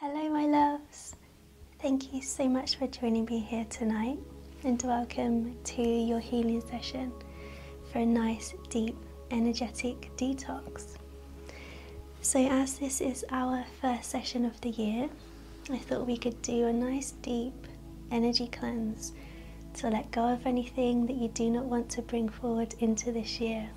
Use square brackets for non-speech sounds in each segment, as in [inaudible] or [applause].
Hello, my loves. Thank you so much for joining me here tonight and welcome to your healing session for a nice, deep, energetic detox. So, as this is our first session of the year, I thought we could do a nice, deep energy cleanse to let go of anything that you do not want to bring forward into this year.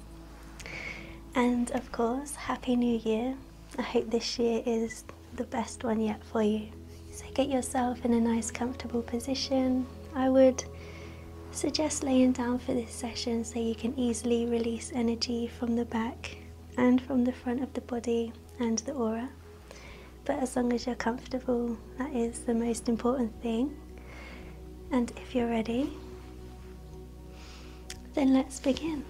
And of course, Happy New Year I hope this year is the best one yet for you. So get yourself in a nice comfortable position. I would suggest laying down for this session so you can easily release energy from the back and from the front of the body and the aura. But as long as you're comfortable, that is the most important thing. And if you're ready, then let's begin.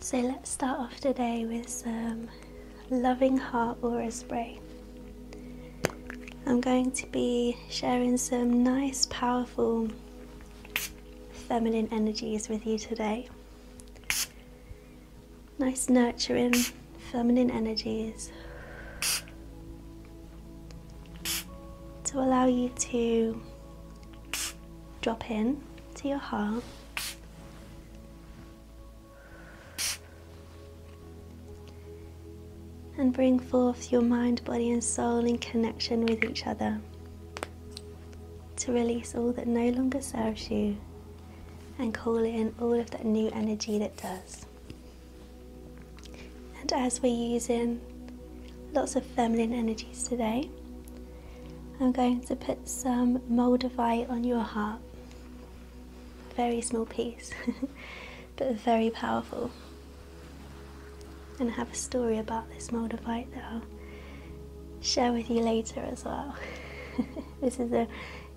So let's start off today with some loving heart aura spray. I'm going to be sharing some nice, powerful feminine energies with you today. Nice, nurturing feminine energies to allow you to drop in to your heart. And bring forth your mind, body, and soul in connection with each other to release all that no longer serves you and call in all of that new energy that does. And as we're using lots of feminine energies today, I'm going to put some moldavite on your heart. very small piece, [laughs] but very powerful. And I have a story about this moldavite that I'll share with you later as well. [laughs] this is a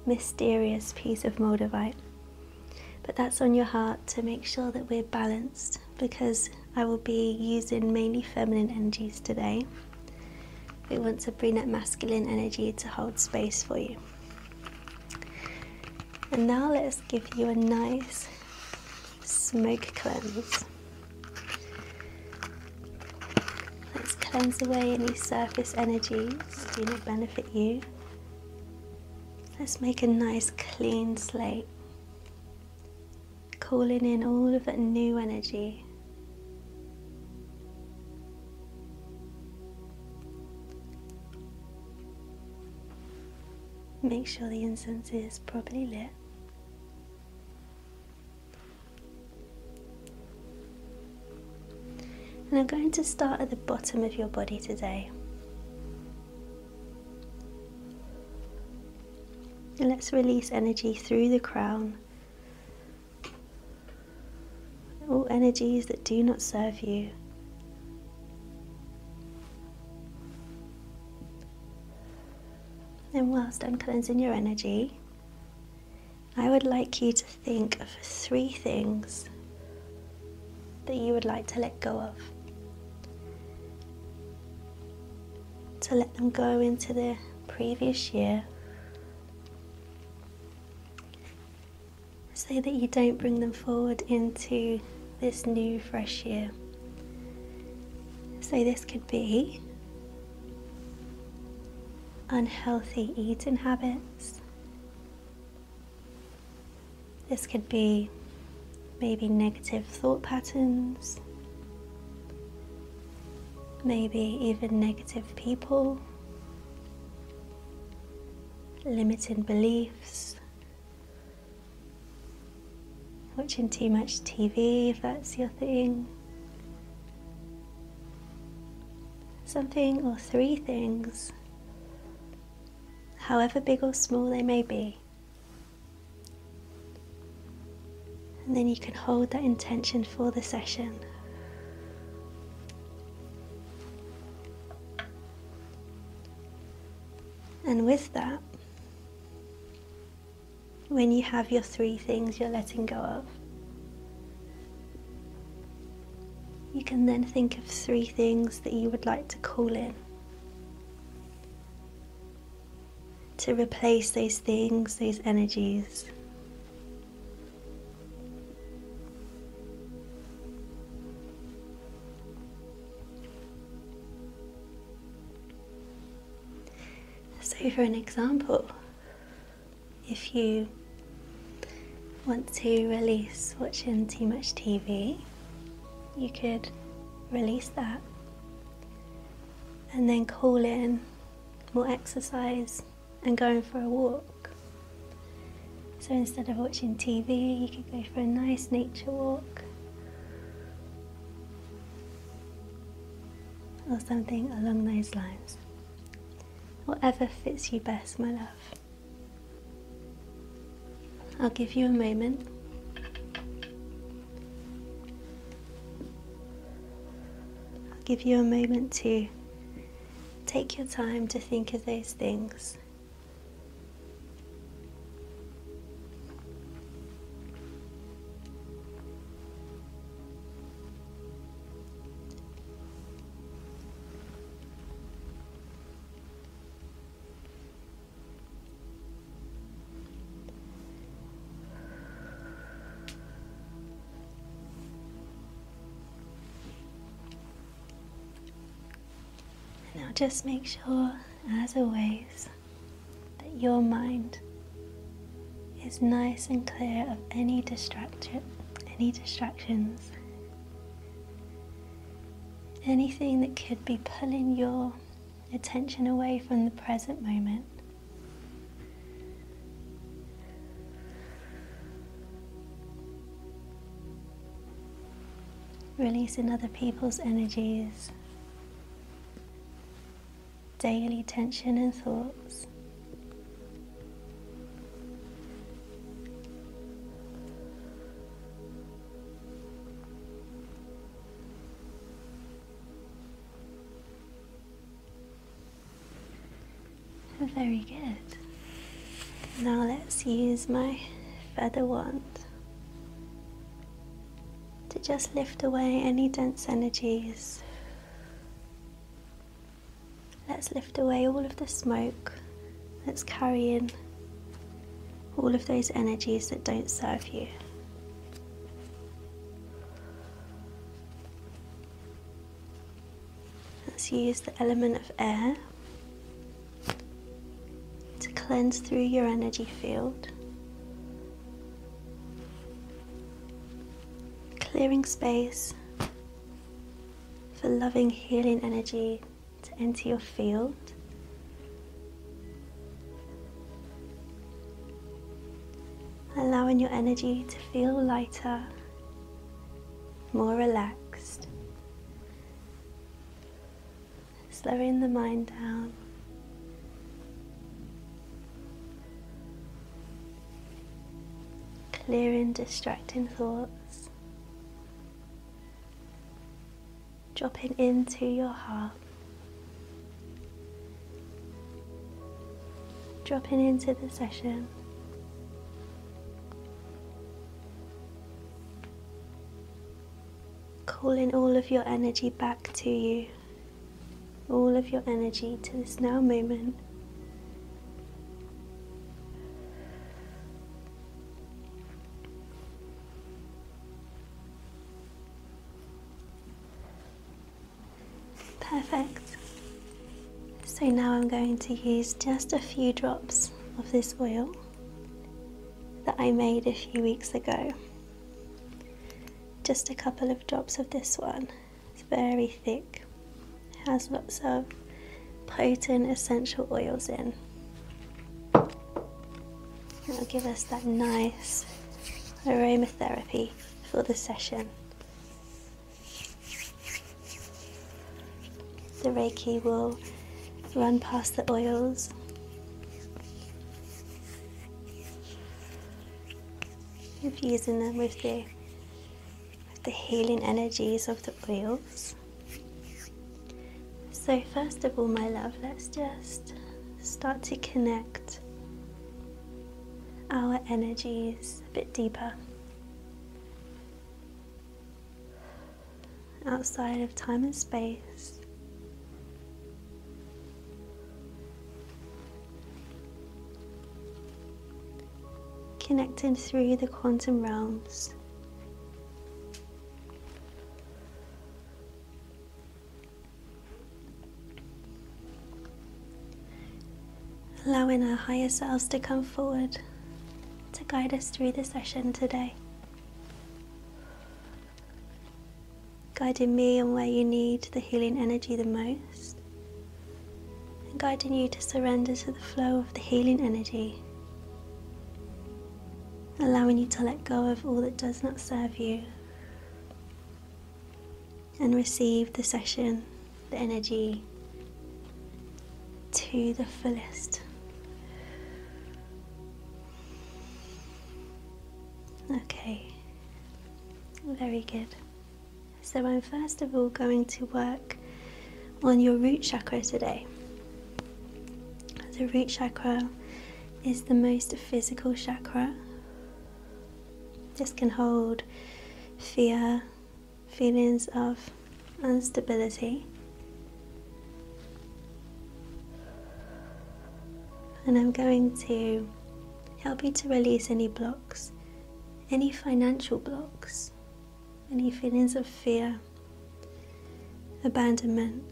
mysterious piece of moldavite. But that's on your heart to make sure that we're balanced because I will be using mainly feminine energies today. We want to bring that masculine energy to hold space for you. And now let's give you a nice smoke cleanse. Let's cleanse away any surface energies that do not benefit you. Let's make a nice clean slate calling in all of that new energy. Make sure the incense is properly lit. And I'm going to start at the bottom of your body today. And let's release energy through the crown. All energies that do not serve you. And whilst I'm cleansing your energy, I would like you to think of three things that you would like to let go of. To let them go into the previous year. So that you don't bring them forward into this new fresh year. So, this could be unhealthy eating habits, this could be maybe negative thought patterns, maybe even negative people, limiting beliefs, watching too much TV if that's your thing. Something or three things, however big or small they may be and then you can hold that intention for the session. And with that, when you have your three things you're letting go of, you can then think of three things that you would like to call in to replace those things, those energies. So, for an example, if you want to release watching too much TV, you could release that and then call in more exercise and going for a walk. So instead of watching TV, you could go for a nice nature walk or something along those lines. Whatever fits you best, my love. I'll give you a moment. I'll give you a moment to take your time to think of those things. Now, just make sure, as always, that your mind is nice and clear of any distraction, any distractions, anything that could be pulling your attention away from the present moment. Releasing other people's energies, daily tension and thoughts. Oh, very good. Now let's use my feather wand to just lift away any dense energies. Let's lift away all of the smoke that's carrying all of those energies that don't serve you. Let's use the element of air to cleanse through your energy field, clearing space for loving, healing energy to enter your field Allowing your energy to feel lighter, more relaxed, slowing the mind down. Clearing distracting thoughts dropping into your heart, dropping into the session. Calling all of your energy back to you, all of your energy to this now moment. Perfect. So now I'm going to use just a few drops of this oil that I made a few weeks ago. Just a couple of drops of this one. It's very thick, it has lots of potent essential oils in. It'll give us that nice aromatherapy for the session. The Reiki will run past the oils. Infusing them with the, with the healing energies of the oils so, first of all, my love, let's just start to connect our energies a bit deeper. Outside of time and space, connecting through the quantum realms. Allowing our higher selves to come forward to guide us through the session today. Guiding me on where you need the healing energy the most, and guiding you to surrender to the flow of the healing energy allowing you to let go of all that does not serve you and receive the session, the energy to the fullest. Okay, very good. So, I'm first of all going to work on your root chakra today. The root chakra is the most physical chakra. This can hold fear, feelings of instability, and I'm going to help you to release any blocks, any financial blocks, any feelings of fear, abandonment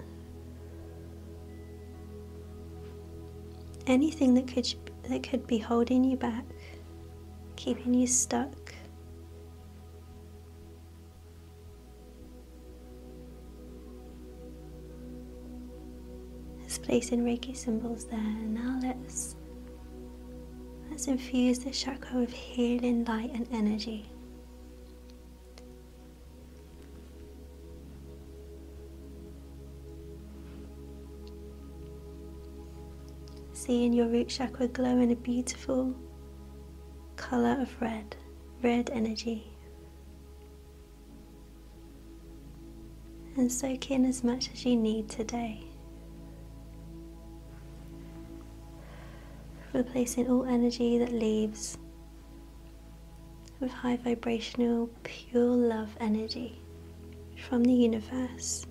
anything that could that could be holding you back, keeping you stuck. let's place in Reiki symbols there. Now let's let's infuse the chakra with healing light and energy. Seeing your root chakra glow in a beautiful color of red, red energy. And soak in as much as you need today. Replacing all energy that leaves with high vibrational, pure love energy from the universe.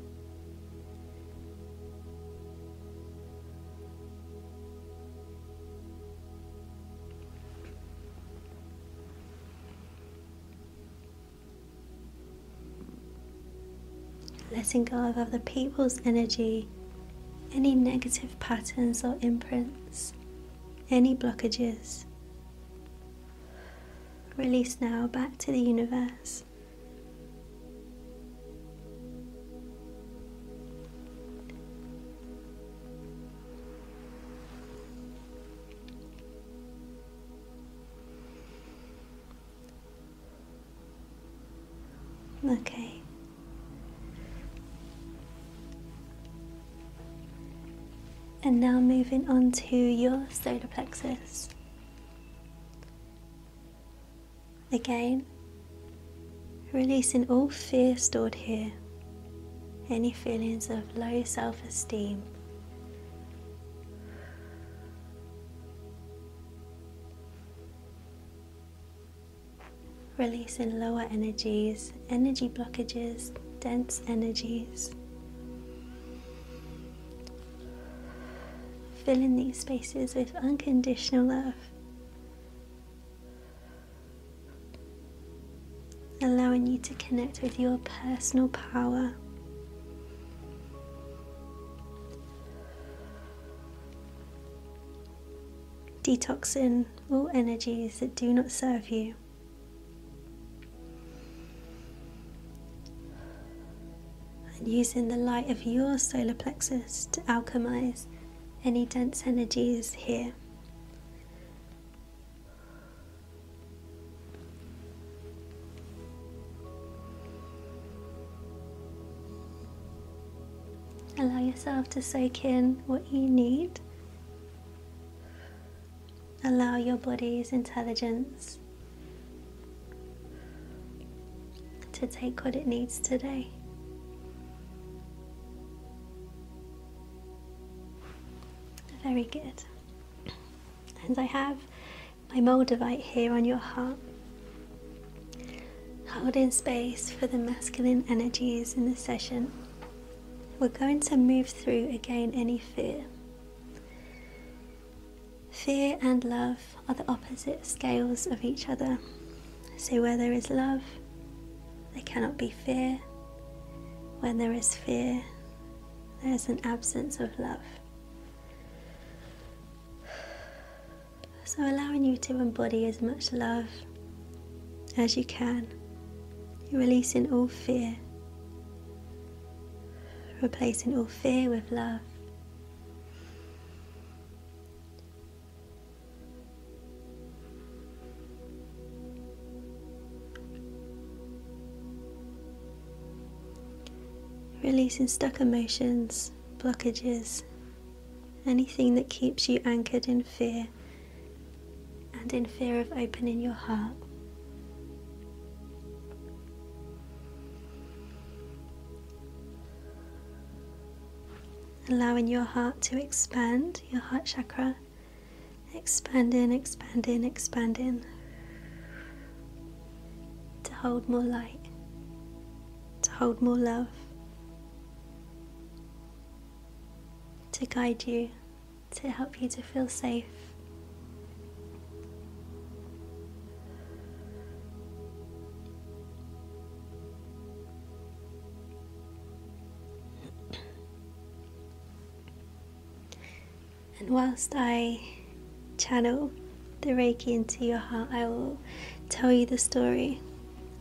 Letting go of other people's energy, any negative patterns or imprints, any blockages, Release now back to the universe. Okay. And now moving on to your solar plexus. Again, releasing all fear stored here, any feelings of low self esteem. Releasing lower energies energy blockages, dense energies. Fill in these spaces with unconditional love, allowing you to connect with your personal power. Detoxing all energies that do not serve you. And using the light of your solar plexus to alchemize any dense energies here. Allow yourself to soak in what you need Allow your body's intelligence to take what it needs today. Very good. And I have my Moldavite here on your heart, holding space for the masculine energies in the session we're going to move through again any fear. Fear and love are the opposite scales of each other. So, where there is love, there cannot be fear. When there is fear, there is an absence of love. So, allowing you to embody as much love as you can, releasing all fear, replacing all fear with love. Releasing stuck emotions, blockages, anything that keeps you anchored in fear and in fear of opening your heart. Allowing your heart to expand, your heart chakra, expanding, expanding, expanding, to hold more light, to hold more love, to guide you to help you to feel safe. And whilst I channel the Reiki into your heart, I will tell you the story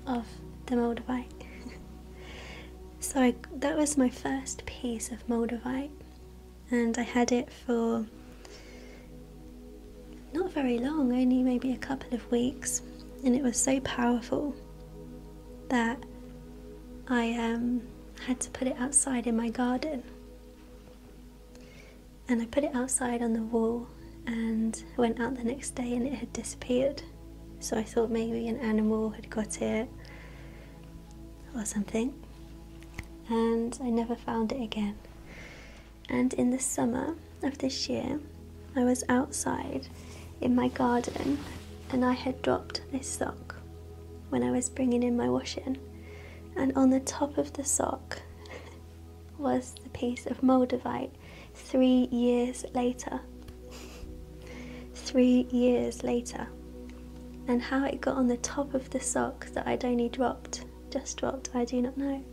of the motorbike. [laughs] So that was my first piece of Moldavite, and I had it for not very long, only maybe a couple of weeks, and it was so powerful that I um, had to put it outside in my garden. And I put it outside on the wall and went out the next day and it had disappeared. So I thought maybe an animal had got it or something, and I never found it again. And in the summer of this year, I was outside in my garden and I had dropped this sock when I was bringing in my washing, and on the top of the sock [laughs] was the piece of moldavite three years later. Three years later, and how it got on the top of the sock that I'd only dropped, just dropped, I do not know.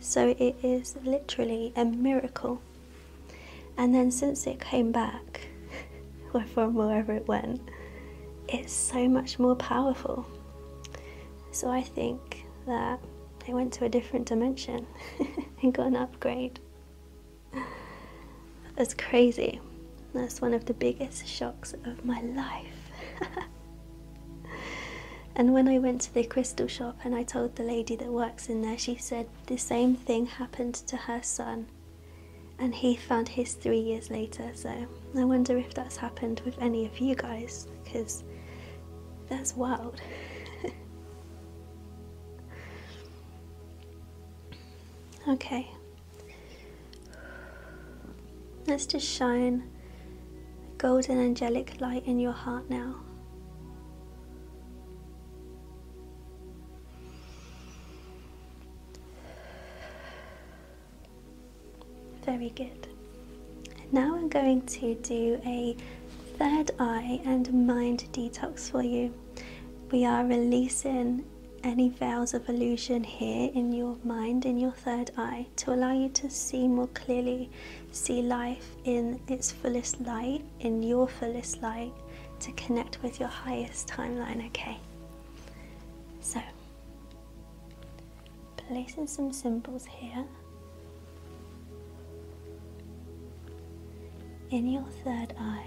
So it is literally a miracle. And then since it came back, [laughs] from wherever it went, it's so much more powerful. So I think that it went to a different dimension [laughs] and got an upgrade. That's crazy. That's one of the biggest shocks of my life. [laughs] and when I went to the crystal shop and I told the lady that works in there, she said the same thing happened to her son. And he found his three years later, so I wonder if that's happened with any of you guys, because that's wild. [laughs] okay, Let's just shine a golden angelic light in your heart now. Very good. now I'm going to do a third eye and mind detox for you. We are releasing any veils of illusion here in your mind, in your third eye, to allow you to see more clearly, see life in its fullest light, in your fullest light, to connect with your highest timeline, okay? So, placing some symbols here in your third eye.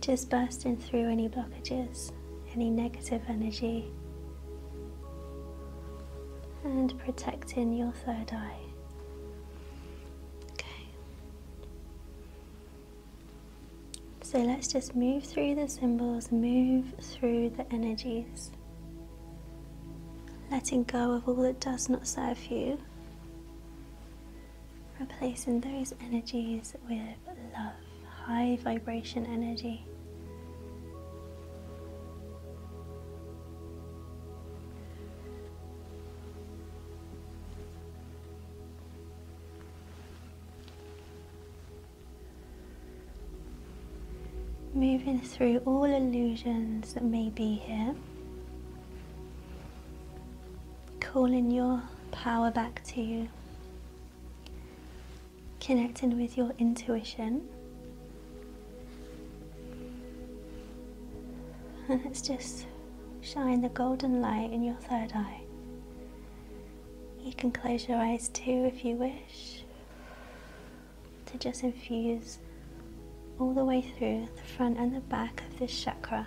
Just bursting through any blockages, any negative energy, and protecting your third eye. Okay. So let's just move through the symbols, move through the energies, letting go of all that does not serve you replacing those energies with love, high vibration energy. Moving through all illusions that may be here, calling your power back to you Connecting with your intuition. And let's just shine the golden light in your third eye. You can close your eyes too if you wish to just infuse all the way through the front and the back of this chakra.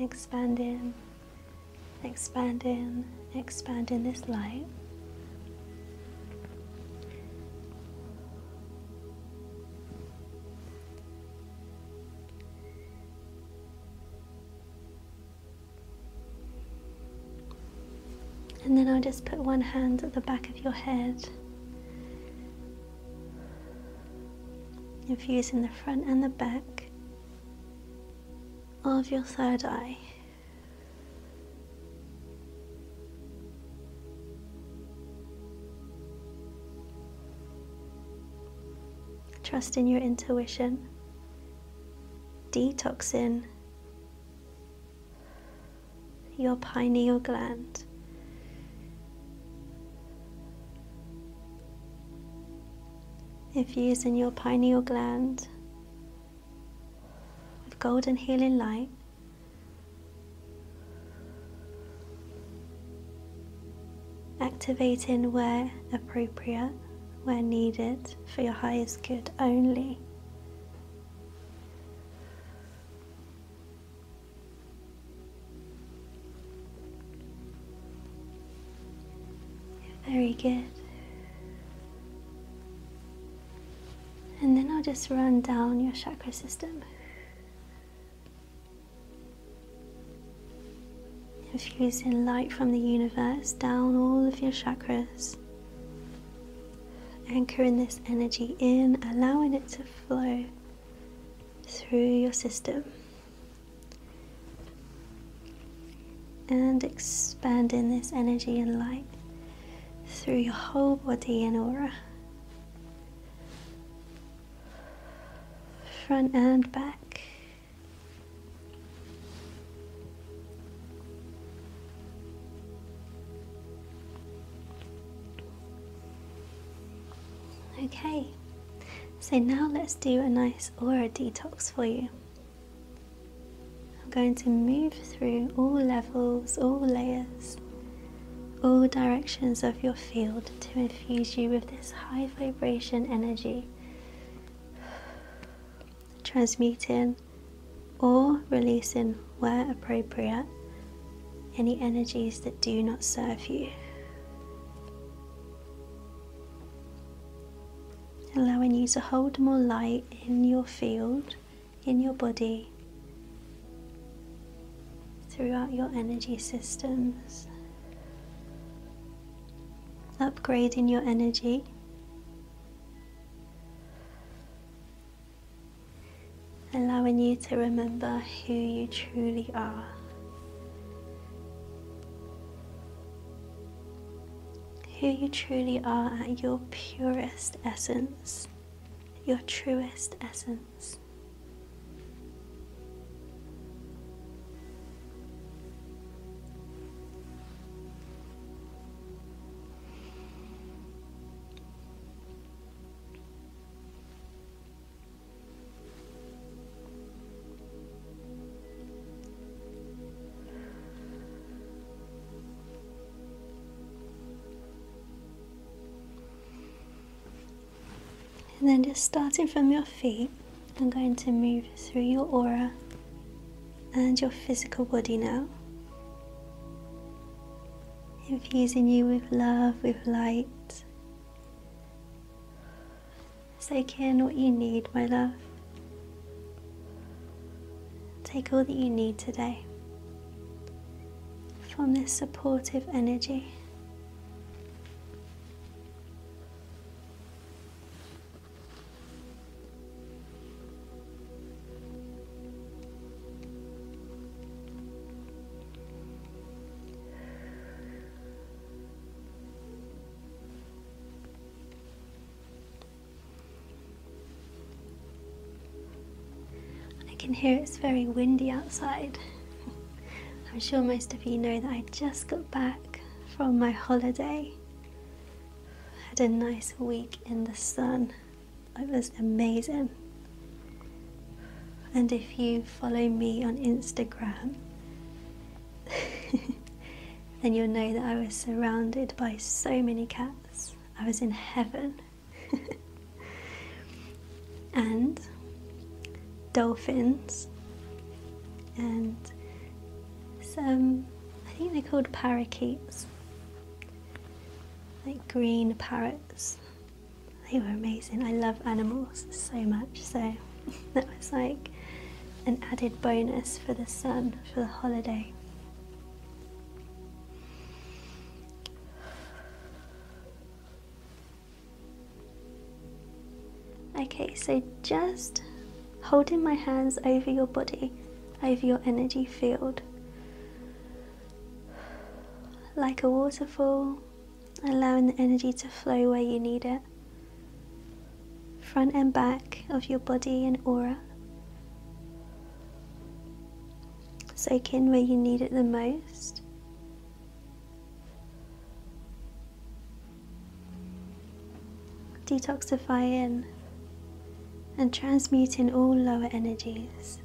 Expand in, expand in, expand in this light. And then I'll just put one hand at the back of your head infusing the front and the back of your third eye. Trust in your intuition, detoxing your pineal gland. If using your pineal gland with golden healing light, activating where appropriate, where needed, for your highest good only. Very good. And then I'll just run down your chakra system. Infusing light from the universe down all of your chakras. Anchoring this energy in, allowing it to flow through your system and expand in this energy and light through your whole body and aura, front and back. Okay, so now let's do a nice aura detox for you. I'm going to move through all levels, all layers, all directions of your field to infuse you with this high vibration energy, transmuting or releasing where appropriate, any energies that do not serve you. Allowing you to hold more light in your field, in your body, throughout your energy systems. Upgrading your energy allowing you to remember who you truly are. Who you truly are at your purest essence, your truest essence. And then just starting from your feet, I'm going to move through your aura and your physical body now infusing you with love, with light. Take in what you need, my love. Take all that you need today from this supportive energy. I can hear it's very windy outside. [laughs] I'm sure most of you know that I just got back from my holiday. Had a nice week in the sun. It was amazing. And if you follow me on Instagram, [laughs] then you'll know that I was surrounded by so many cats. I was in heaven. [laughs] and dolphins and some, I think they're called parakeets, like green parrots they were amazing. I love animals so much, so [laughs] that was like an added bonus for the sun for the holiday. Okay, so just holding my hands over your body, over your energy field, like a waterfall allowing the energy to flow where you need it. Front and back of your body and aura. Soak in where you need it the most. Detoxify in and transmuting all lower energies.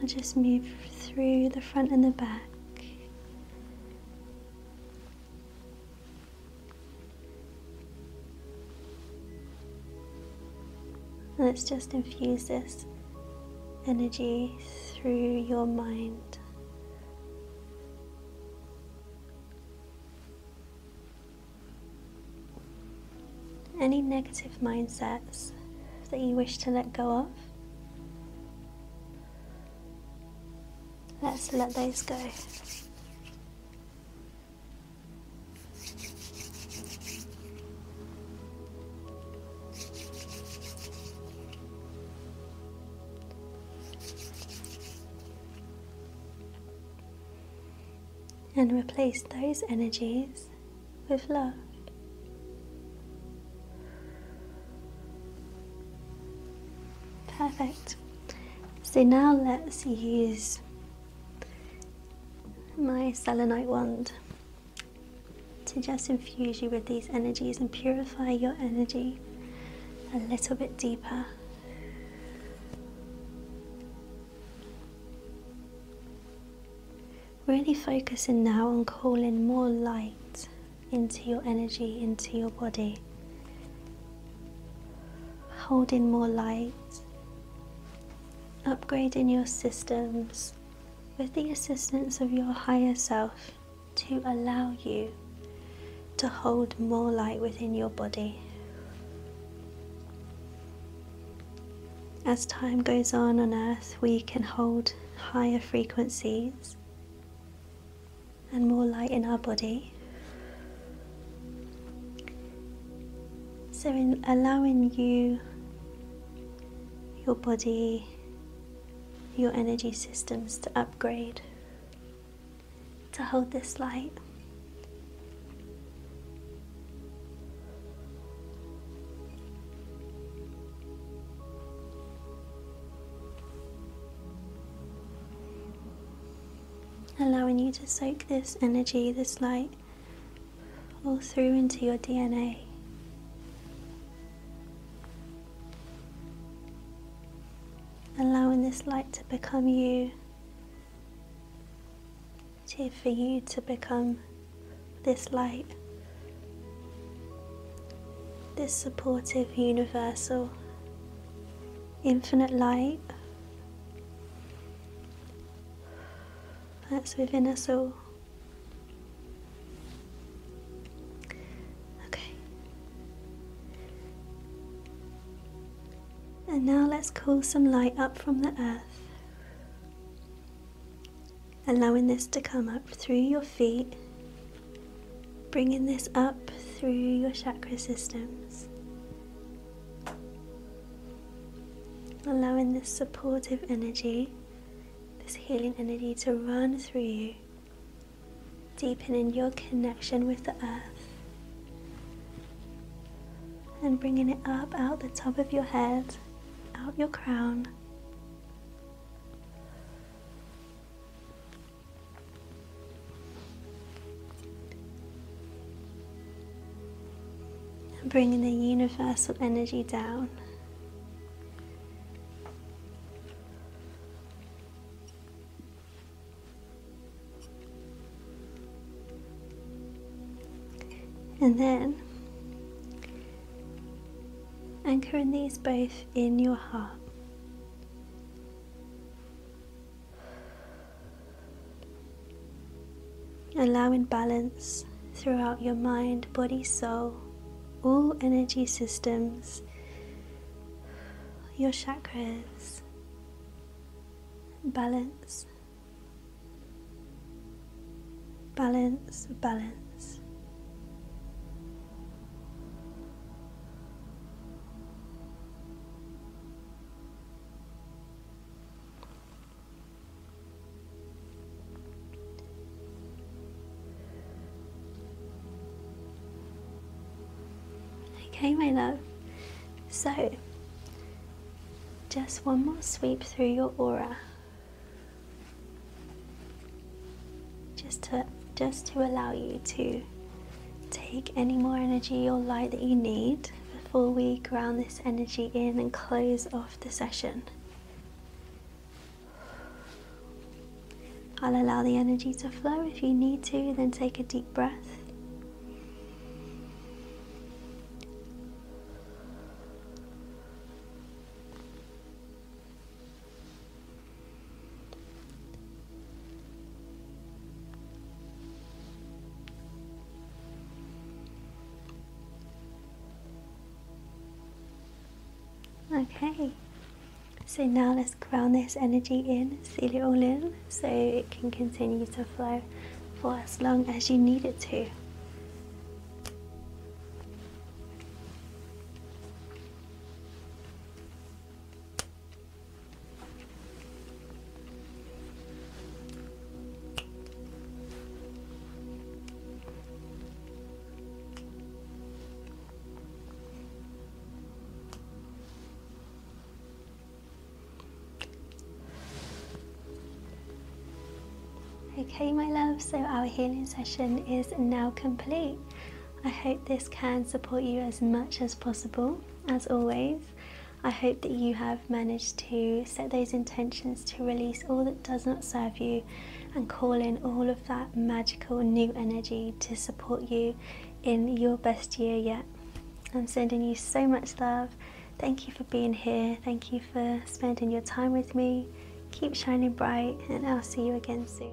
I'll just move through the front and the back. Let's just infuse this energy through your mind. Any negative mindsets that you wish to let go of, let's let those go and replace those energies with love. Perfect. So now let's use my selenite wand to just infuse you with these energies and purify your energy a little bit deeper. Really focusing now on calling more light into your energy, into your body. Holding more light, upgrading your systems, with the assistance of your higher self to allow you to hold more light within your body. As time goes on on earth, we can hold higher frequencies and more light in our body. So, in allowing you your body, your energy systems to upgrade to hold this light. Allowing you to soak this energy, this light, all through into your DNA. Allowing this light to become you, to, for you to become this light, this supportive, universal, infinite light that's within us all. Okay. And now let's call some light up from the earth, allowing this to come up through your feet, bringing this up through your chakra systems, allowing this supportive energy this healing energy to run through you, deepening your connection with the earth and bringing it up out the top of your head, out your crown. and Bringing the universal energy down. And then anchoring these both in your heart allowing balance throughout your mind, body, soul, all energy systems, your chakras, balance, balance, balance. Okay, my love. So, just one more sweep through your aura. Just to just to allow you to take any more energy or light that you need before we ground this energy in and close off the session. I'll allow the energy to flow. If you need to, then take a deep breath. Okay, so now let's ground this energy in, seal it all in so it can continue to flow for as long as you need it to. Okay, my love, so our healing session is now complete. I hope this can support you as much as possible, as always. I hope that you have managed to set those intentions to release all that does not serve you and call in all of that magical new energy to support you in your best year yet. I'm sending you so much love. Thank you for being here. Thank you for spending your time with me. Keep shining bright, and I'll see you again soon.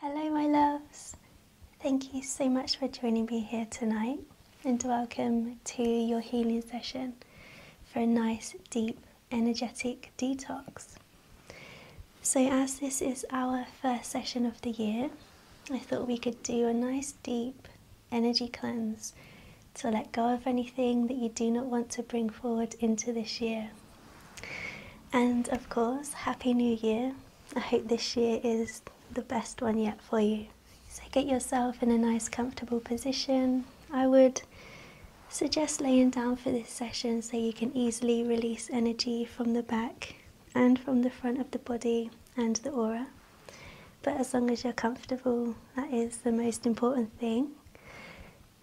Hello, my loves. Thank you so much for joining me here tonight and welcome to your healing session for a nice, deep, energetic detox. So, as this is our first session of the year, I thought we could do a nice deep energy cleanse to let go of anything that you do not want to bring forward into this year. And of course, Happy New Year. I hope this year is the best one yet for you. So, get yourself in a nice, comfortable position. I would suggest laying down for this session so you can easily release energy from the back and from the front of the body and the aura. But as long as you're comfortable, that is the most important thing.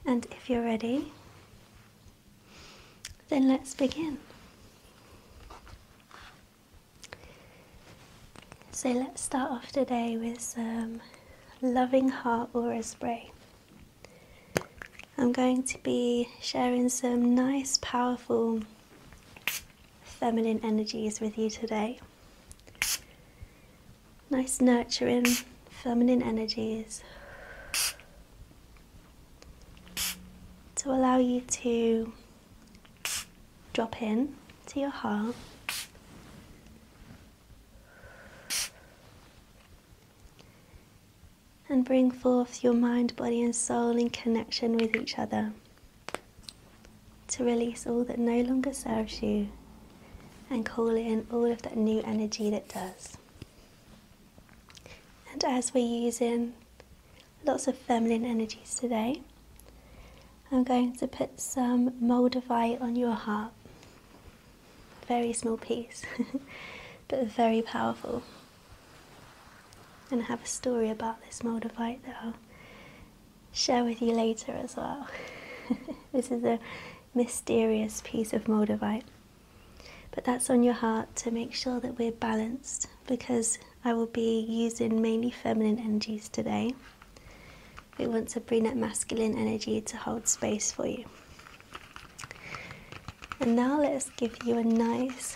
And if you're ready, then let's begin. So let's start off today with some Loving Heart Aura Spray. I'm going to be sharing some nice, powerful feminine energies with you today. Nice, nurturing feminine energies to allow you to drop in to your heart and bring forth your mind, body, and soul in connection with each other to release all that no longer serves you and call in all of that new energy that does. And as we're using lots of feminine energies today, I'm going to put some mold of moldavite on your heart. Very small piece, [laughs] but very powerful. And I have a story about this Moldavite that I'll share with you later as well. [laughs] this is a mysterious piece of Moldavite. But that's on your heart to make sure that we're balanced because I will be using mainly feminine energies today. We want to bring that masculine energy to hold space for you. And now let's give you a nice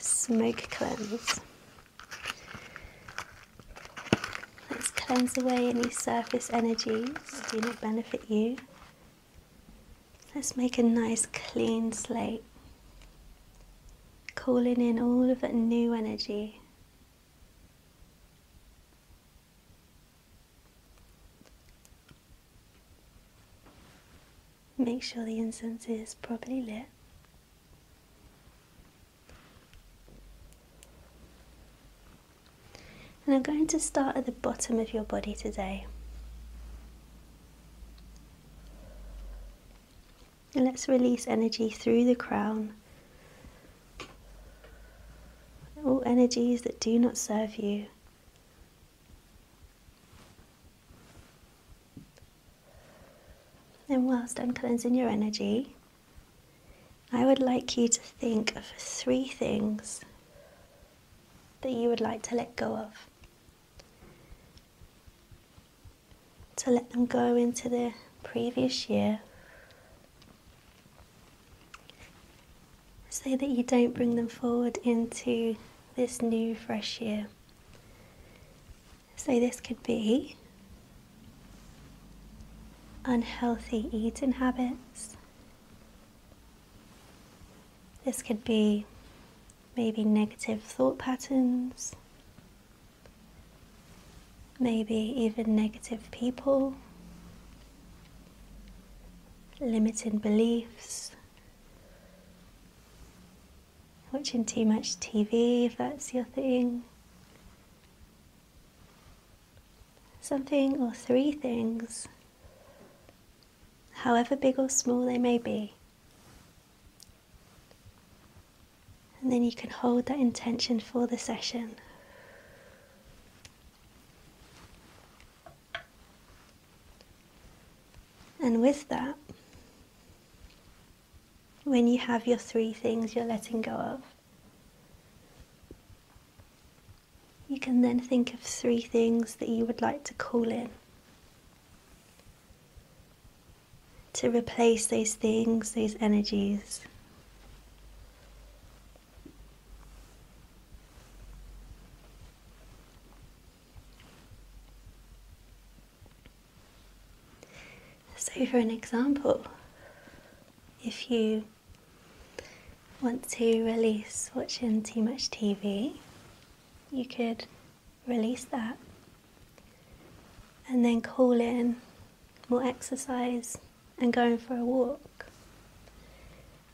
smoke cleanse. Let's cleanse away any surface energies that do not benefit you. Let's make a nice clean slate, calling in all of that new energy. Make sure the incense is properly lit. And I'm going to start at the bottom of your body today. And let's release energy through the crown. All energies that do not serve you and whilst I'm cleansing your energy, I would like you to think of three things that you would like to let go of. To let them go into the previous year so that you don't bring them forward into this new fresh year. So this could be unhealthy eating habits. This could be maybe negative thought patterns, maybe even negative people, Limited beliefs, Watching too much TV, if that's your thing. Something or three things, however big or small they may be. And then you can hold that intention for the session. And with that, when you have your three things you're letting go of, you can then think of three things that you would like to call in to replace those things, those energies. So, for an example, if you want to release watching too much TV, you could release that and then call in more exercise and going for a walk.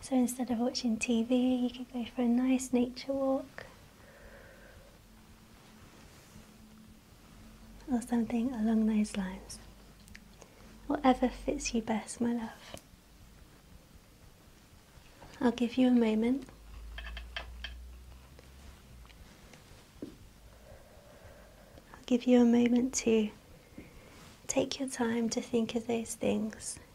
So instead of watching TV, you could go for a nice nature walk or something along those lines. Whatever fits you best, my love. I'll give you a moment. I'll give you a moment to take your time to think of those things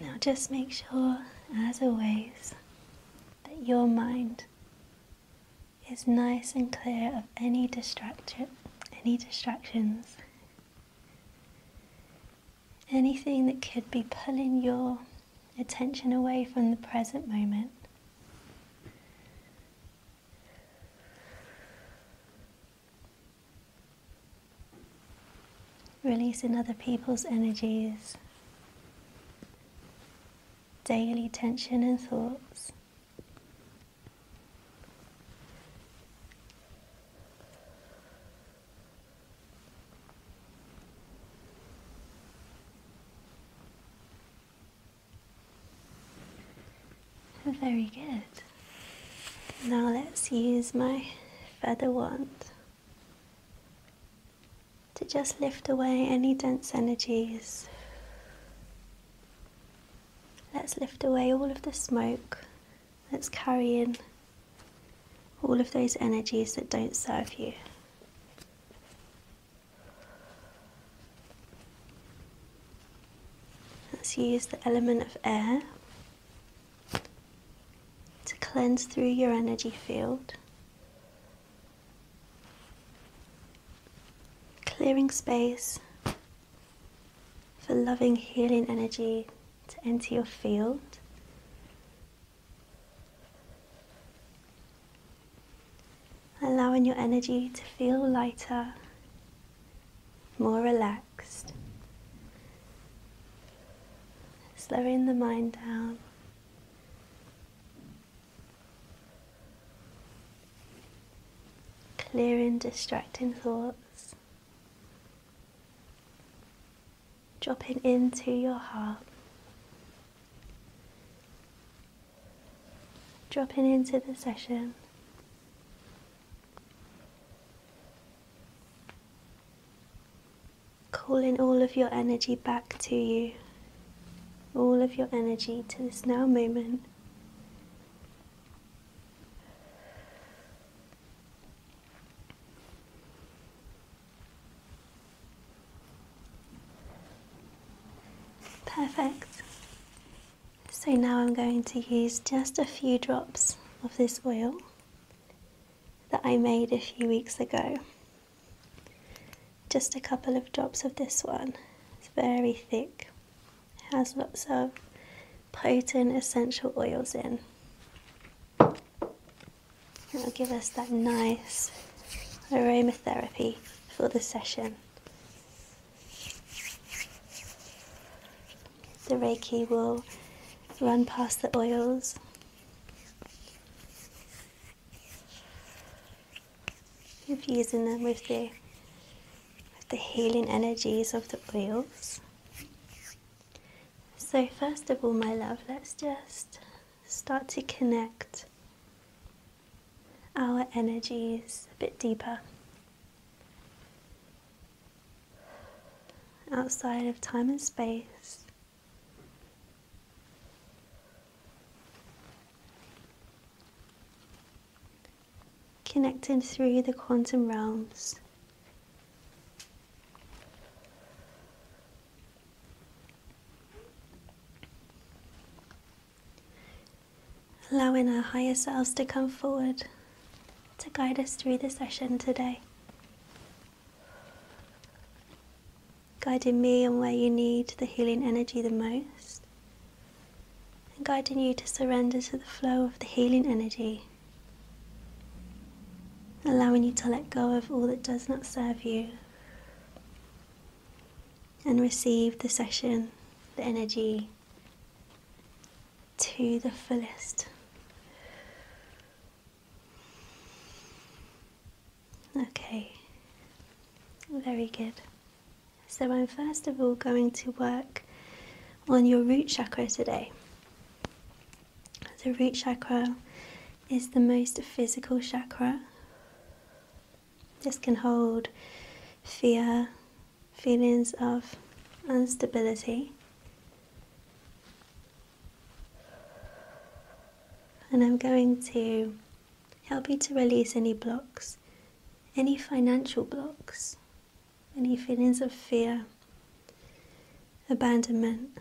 And now just make sure, as always, that your mind is nice and clear of any distraction, any distractions, anything that could be pulling your attention away from the present moment releasing other people's energies, daily tension and thoughts. Very good. Now let's use my feather wand to just lift away any dense energies. Let's lift away all of the smoke Let's carry in all of those energies that don't serve you. Let's use the element of air to cleanse through your energy field Clearing space for loving, healing energy to enter your field. Allowing your energy to feel lighter, more relaxed, slowing the mind down. Clearing distracting thoughts, dropping into your heart, dropping into the session calling all of your energy back to you, all of your energy to this now moment. Perfect. So now I'm going to use just a few drops of this oil that I made a few weeks ago. Just a couple of drops of this one. It's very thick, it has lots of potent essential oils in. It'll give us that nice aromatherapy for the session. The Reiki will run past the oils infusing them with the with the healing energies of the oils. So first of all, my love, let's just start to connect our energies a bit deeper. Outside of time and space, Connecting through the quantum realms. allowing our higher selves to come forward to guide us through the session today guiding me on where you need the healing energy the most, and guiding you to surrender to the flow of the healing energy, allowing you to let go of all that does not serve you and receive the session, the energy to the fullest. Okay, very good. So I'm first of all going to work on your root chakra today. The root chakra is the most physical chakra. This can hold fear, feelings of instability, and I'm going to help you to release any blocks, any financial blocks, any feelings of fear, abandonment,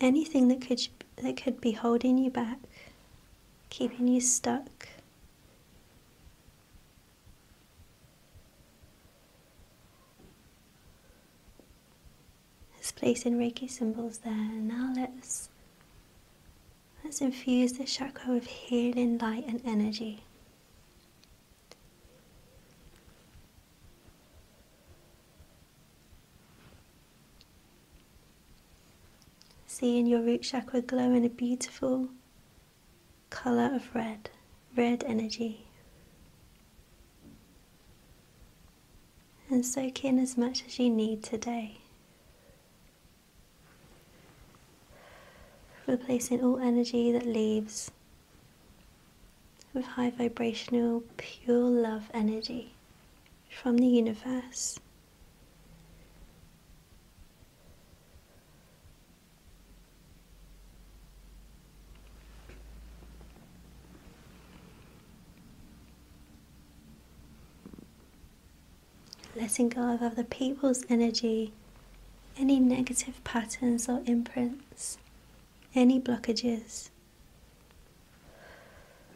anything that could that could be holding you back, keeping you stuck. Let's place in Reiki symbols there. Now let's let's infuse the chakra with healing light and energy. Seeing your root chakra glow in a beautiful color of red, red energy. And soak in as much as you need today. Replacing all energy that leaves with high vibrational, pure love energy from the universe. Letting go of other people's energy, any negative patterns or imprints, any blockages.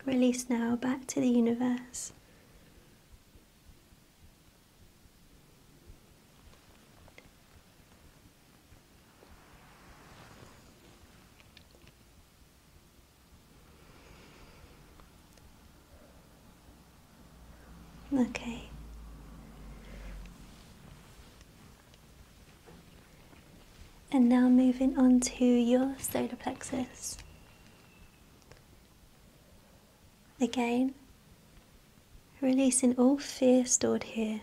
Release now back to the universe. Okay. And now moving on to your solar plexus. Again, releasing all fear stored here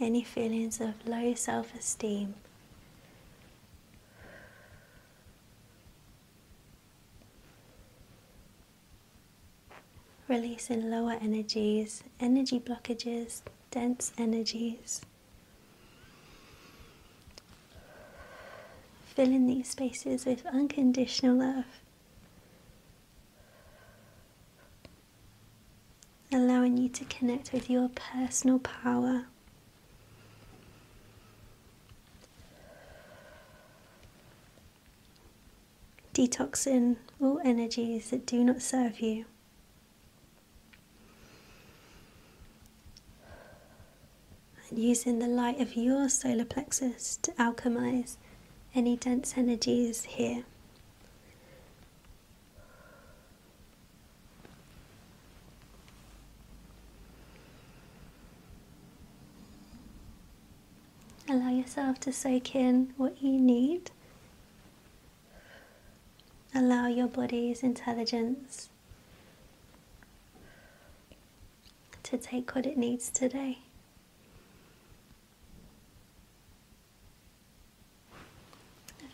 any feelings of low self esteem. Releasing lower energies, energy blockages, dense energies. Filling these spaces with unconditional love allowing you to connect with your personal power. Detoxing all energies that do not serve you. And using the light of your solar plexus to alchemize any dense energies here Allow yourself to soak in what you need. Allow your body's intelligence to take what it needs today.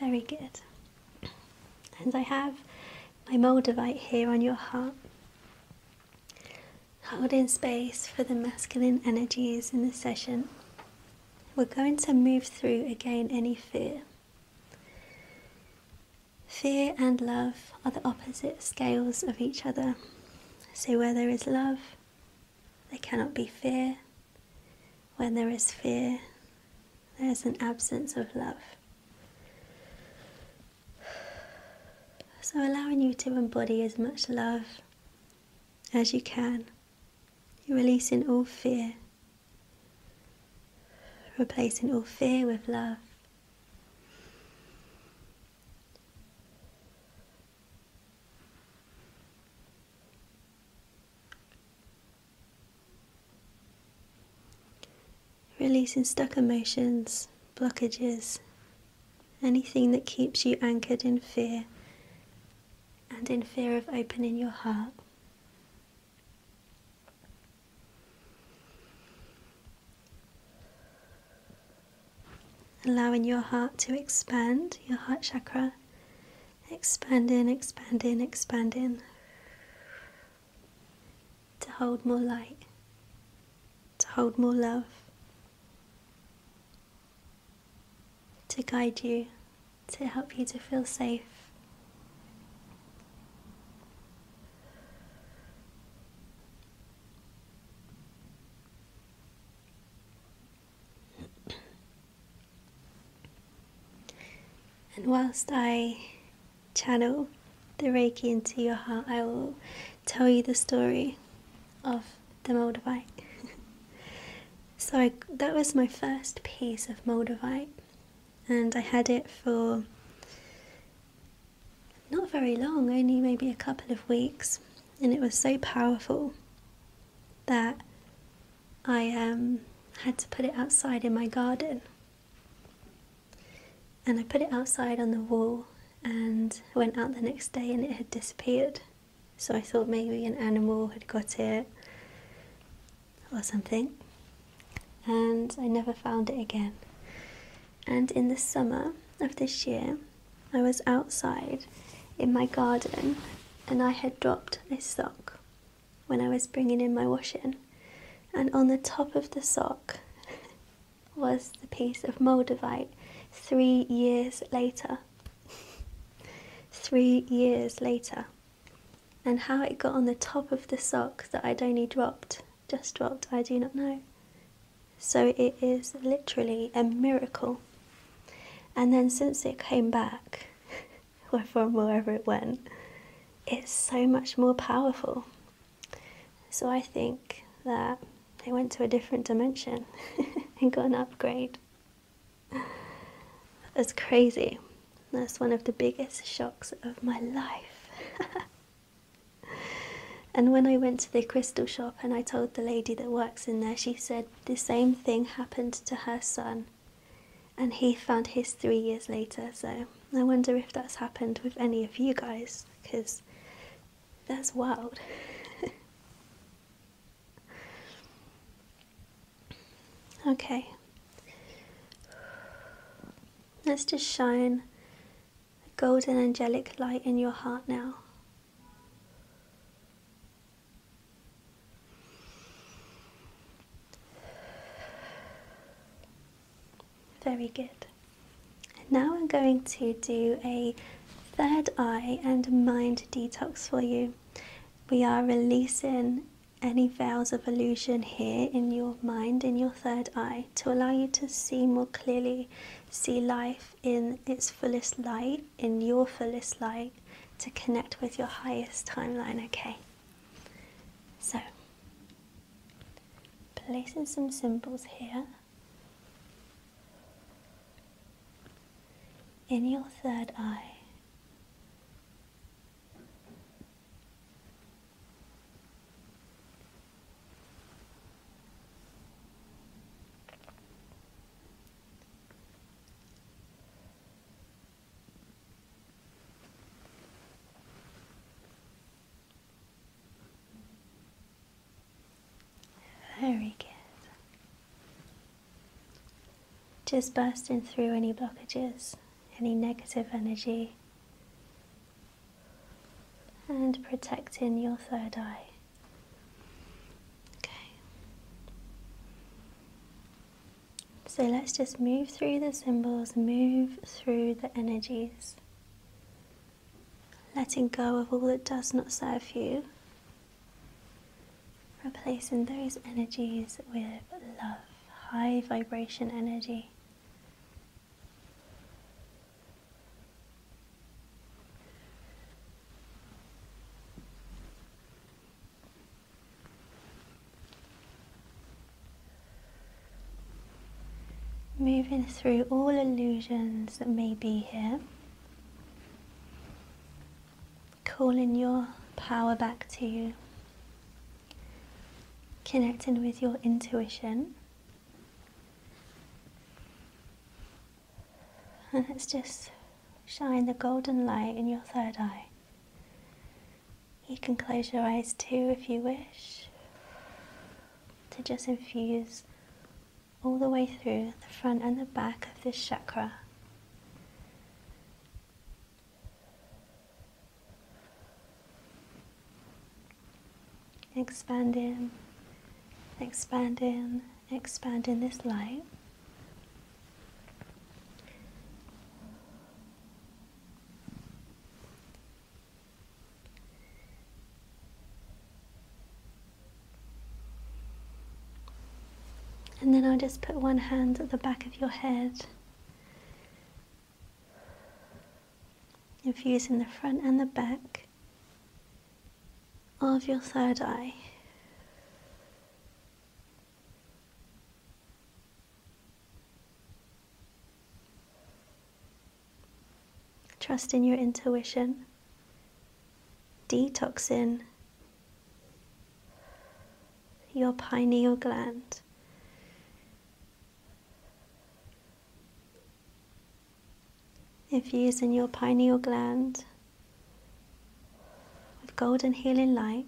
Very good. And I have my Moldavite here on your heart, holding space for the masculine energies in the session. We're going to move through again any fear. Fear and love are the opposite scales of each other. So, where there is love, there cannot be fear. When there is fear, there is an absence of love. So, allowing you to embody as much love as you can, you're releasing all fear, replacing all fear with love. Releasing stuck emotions, blockages, anything that keeps you anchored in fear and in fear of opening your heart. Allowing your heart to expand, your heart chakra, Expand in, expand in, expand in. To hold more light, to hold more love, to guide you, to help you to feel safe and whilst I channel the Reiki into your heart, I will tell you the story of the Moldavite. [laughs] so that was my first piece of Moldavite, and I had it for not very long, only maybe a couple of weeks, and it was so powerful that I um, had to put it outside in my garden. And I put it outside on the wall and went out the next day and it had disappeared. So I thought maybe an animal had got it or something. And I never found it again. And in the summer of this year, I was outside in my garden and I had dropped this sock when I was bringing in my washing, and on the top of the sock [laughs] was the piece of Moldavite three years later. [laughs] three years later. And how it got on the top of the sock that I'd only dropped, just dropped, I do not know. So it is literally a miracle. And then since it came back, [laughs] or [laughs] from wherever it went, it's so much more powerful. So I think that it went to a different dimension [laughs] and got an upgrade. That's crazy. That's one of the biggest shocks of my life. [laughs] and when I went to the crystal shop and I told the lady that works in there, she said the same thing happened to her son and he found his three years later. So I wonder if that's happened with any of you guys because that's wild. [laughs] okay, let's just shine a golden angelic light in your heart now. Very good. now we're going to do a third eye and mind detox for you. We are releasing any veils of illusion here in your mind, in your third eye, to allow you to see more clearly, see life in its fullest light, in your fullest light, to connect with your highest timeline, okay? So, placing some symbols here in your third eye. Very good. Just bursting through any blockages, any negative energy, and protecting your third eye. Okay. So let's just move through the symbols, move through the energies, letting go of all that does not serve you, replacing those energies with love, high vibration energy. Moving through all illusions that may be here, calling your power back to you, connecting with your intuition. And let's just shine the golden light in your third eye you can close your eyes too if you wish to just infuse all the way through the front and the back of this chakra. Expand in, expand in, expand in this light. And then I'll just put one hand at the back of your head, infusing the front and the back of your third eye. Trust in your intuition. Detox in your pineal gland. If Infusing your pineal gland with golden healing light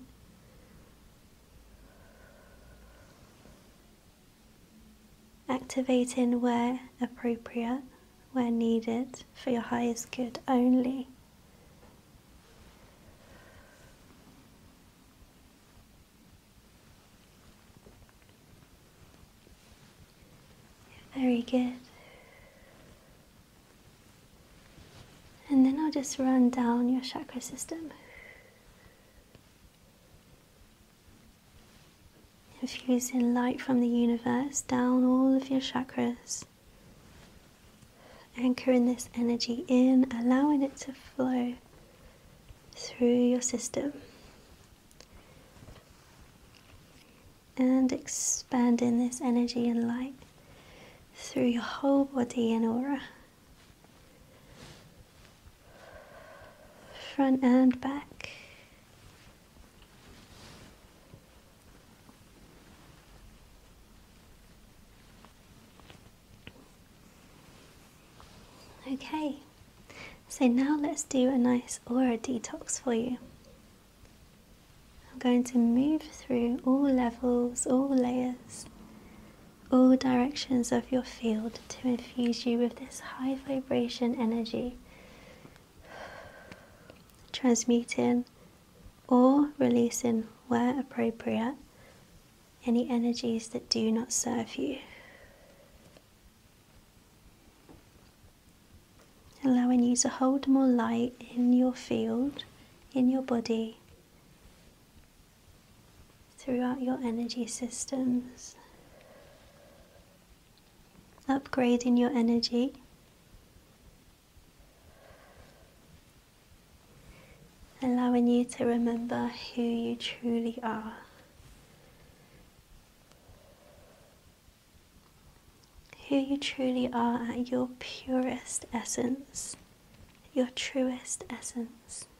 Activating where appropriate, where needed, for your highest good only. Very good. And then I'll just run down your chakra system. Infusing light from the universe down all of your chakras. Anchoring this energy in, allowing it to flow through your system. And expanding this energy and light through your whole body and aura front and back. Okay, so now let's do a nice aura detox for you. I'm going to move through all levels, all layers, all directions of your field to infuse you with this high vibration energy, transmuting or releasing where appropriate any energies that do not serve you. Allowing you to hold more light in your field, in your body, throughout your energy systems, upgrading your energy. Allowing you to remember who you truly are. who you truly are at your purest essence, your truest essence.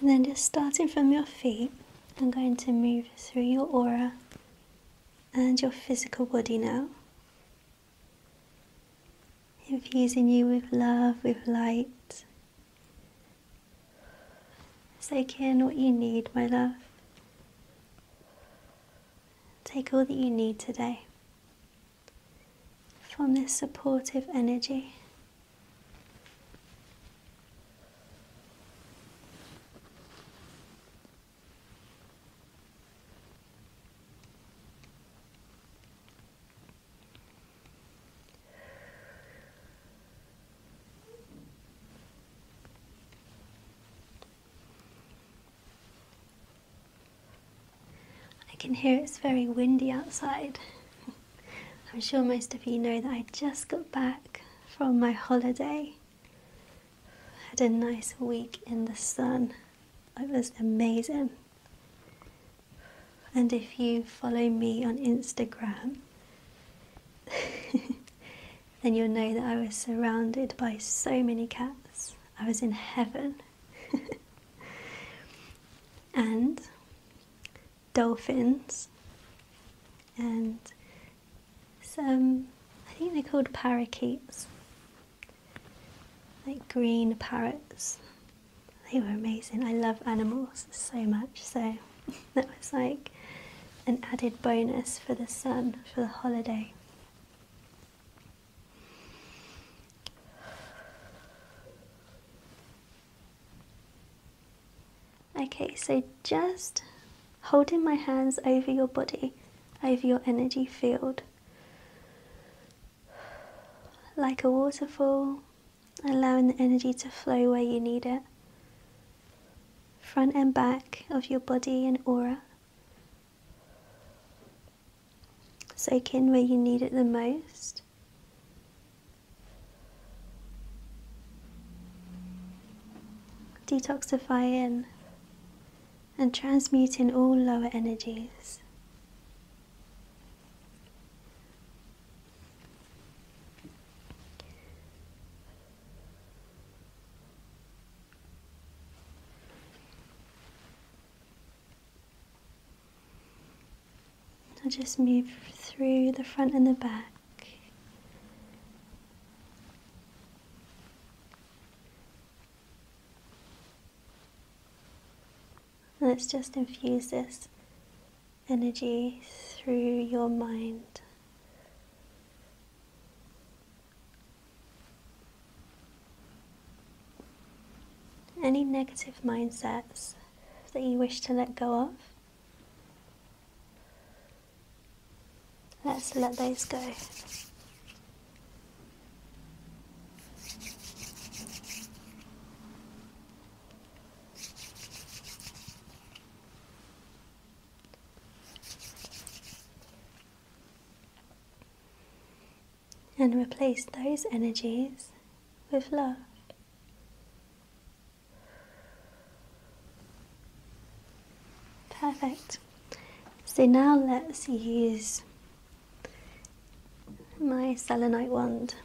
And then just starting from your feet, I'm going to move through your aura and your physical body now. Infusing you with love, with light. Take in what you need, my love. Take all that you need today from this supportive energy. I can hear it's very windy outside. [laughs] I'm sure most of you know that I just got back from my holiday. had a nice week in the sun. It was amazing. And if you follow me on Instagram, [laughs] then you'll know that I was surrounded by so many cats. I was in heaven. [laughs] and dolphins and some I think they're called parakeets. Like green parrots. They were amazing. I love animals so much, so [laughs] that was like an added bonus for the sun for the holiday. Okay, so just holding my hands over your body, over your energy field. Like a waterfall, allowing the energy to flow where you need it. Front and back of your body and aura. Soak in where you need it the most. Detoxify in and transmute in all lower energies. I'll just move through the front and the back. Let's just infuse this energy through your mind. Any negative mindsets that you wish to let go of. Let's let those go and replace those energies with love. Perfect. So now let's use my selenite wand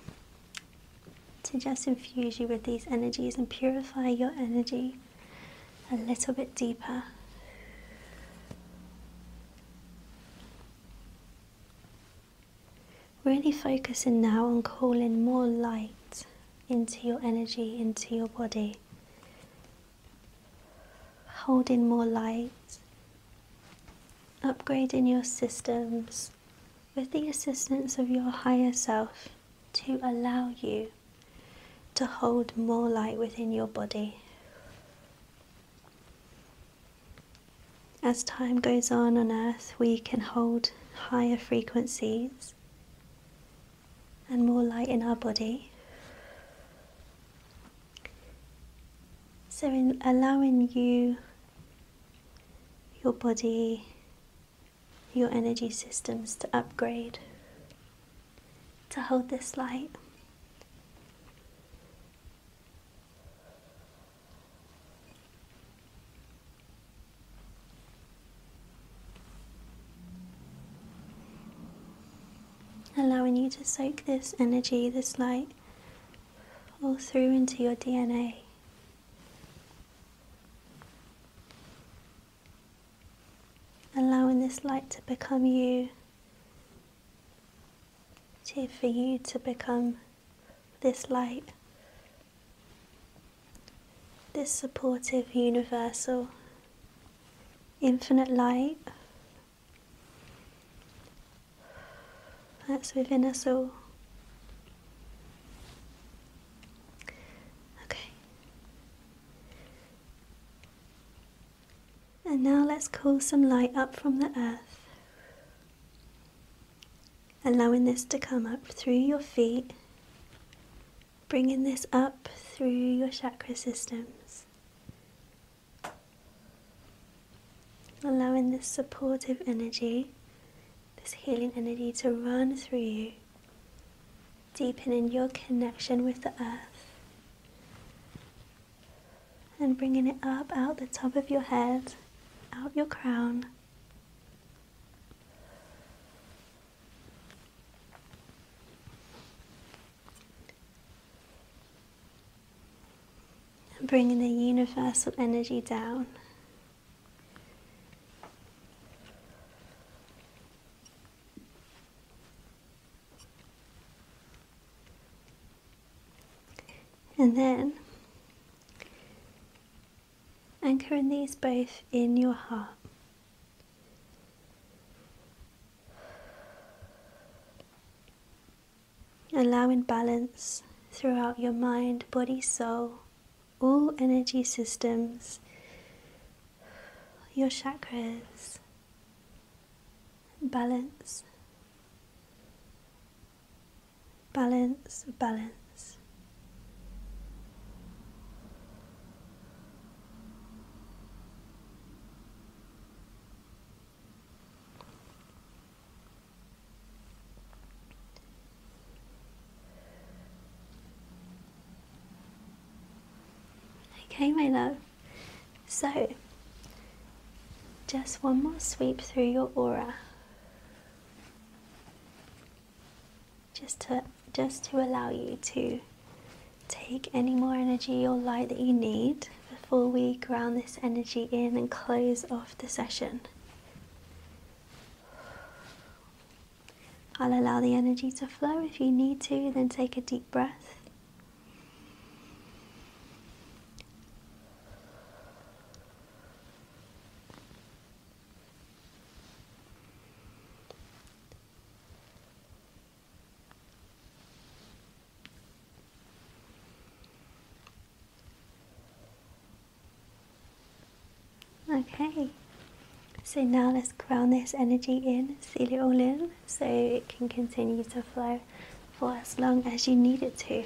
to just infuse you with these energies and purify your energy a little bit deeper. Really focusing now on calling more light into your energy, into your body. Holding more light, upgrading your systems with the assistance of your higher self to allow you to hold more light within your body. As time goes on on Earth, we can hold higher frequencies and more light in our body. So, in allowing you, your body, your energy systems to upgrade, to hold this light. Allowing you to soak this energy, this light, all through into your DNA. Allowing this light to become you, to, for you to become this light, this supportive, universal, infinite light that's within us all. Okay. And now let's call some light up from the earth allowing this to come up through your feet, bringing this up through your chakra systems, allowing this supportive energy, this healing energy to run through you, deepening your connection with the earth. And bringing it up out the top of your head, out your crown, and bringing the universal energy down. And then Anchoring these both in your heart. Allowing balance throughout your mind, body, soul, all energy systems, your chakras, balance balance, balance. Okay, my love. So, just one more sweep through your aura. Just to just to allow you to take any more energy or light that you need before we ground this energy in and close off the session. I'll allow the energy to flow if you need to, then take a deep breath. Okay, so now let's ground this energy in, seal it all in so it can continue to flow for as long as you need it to.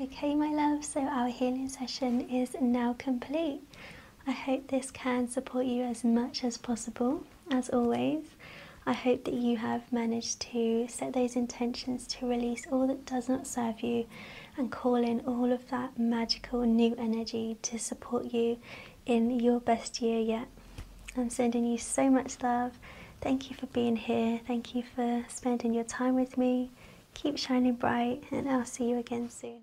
Okay, my love, so our healing session is now complete. I hope this can support you as much as possible, as always. I hope that you have managed to set those intentions to release all that does not serve you and call in all of that magical new energy to support you in your best year yet. I'm sending you so much love. Thank you for being here. Thank you for spending your time with me. Keep shining bright, and I'll see you again soon.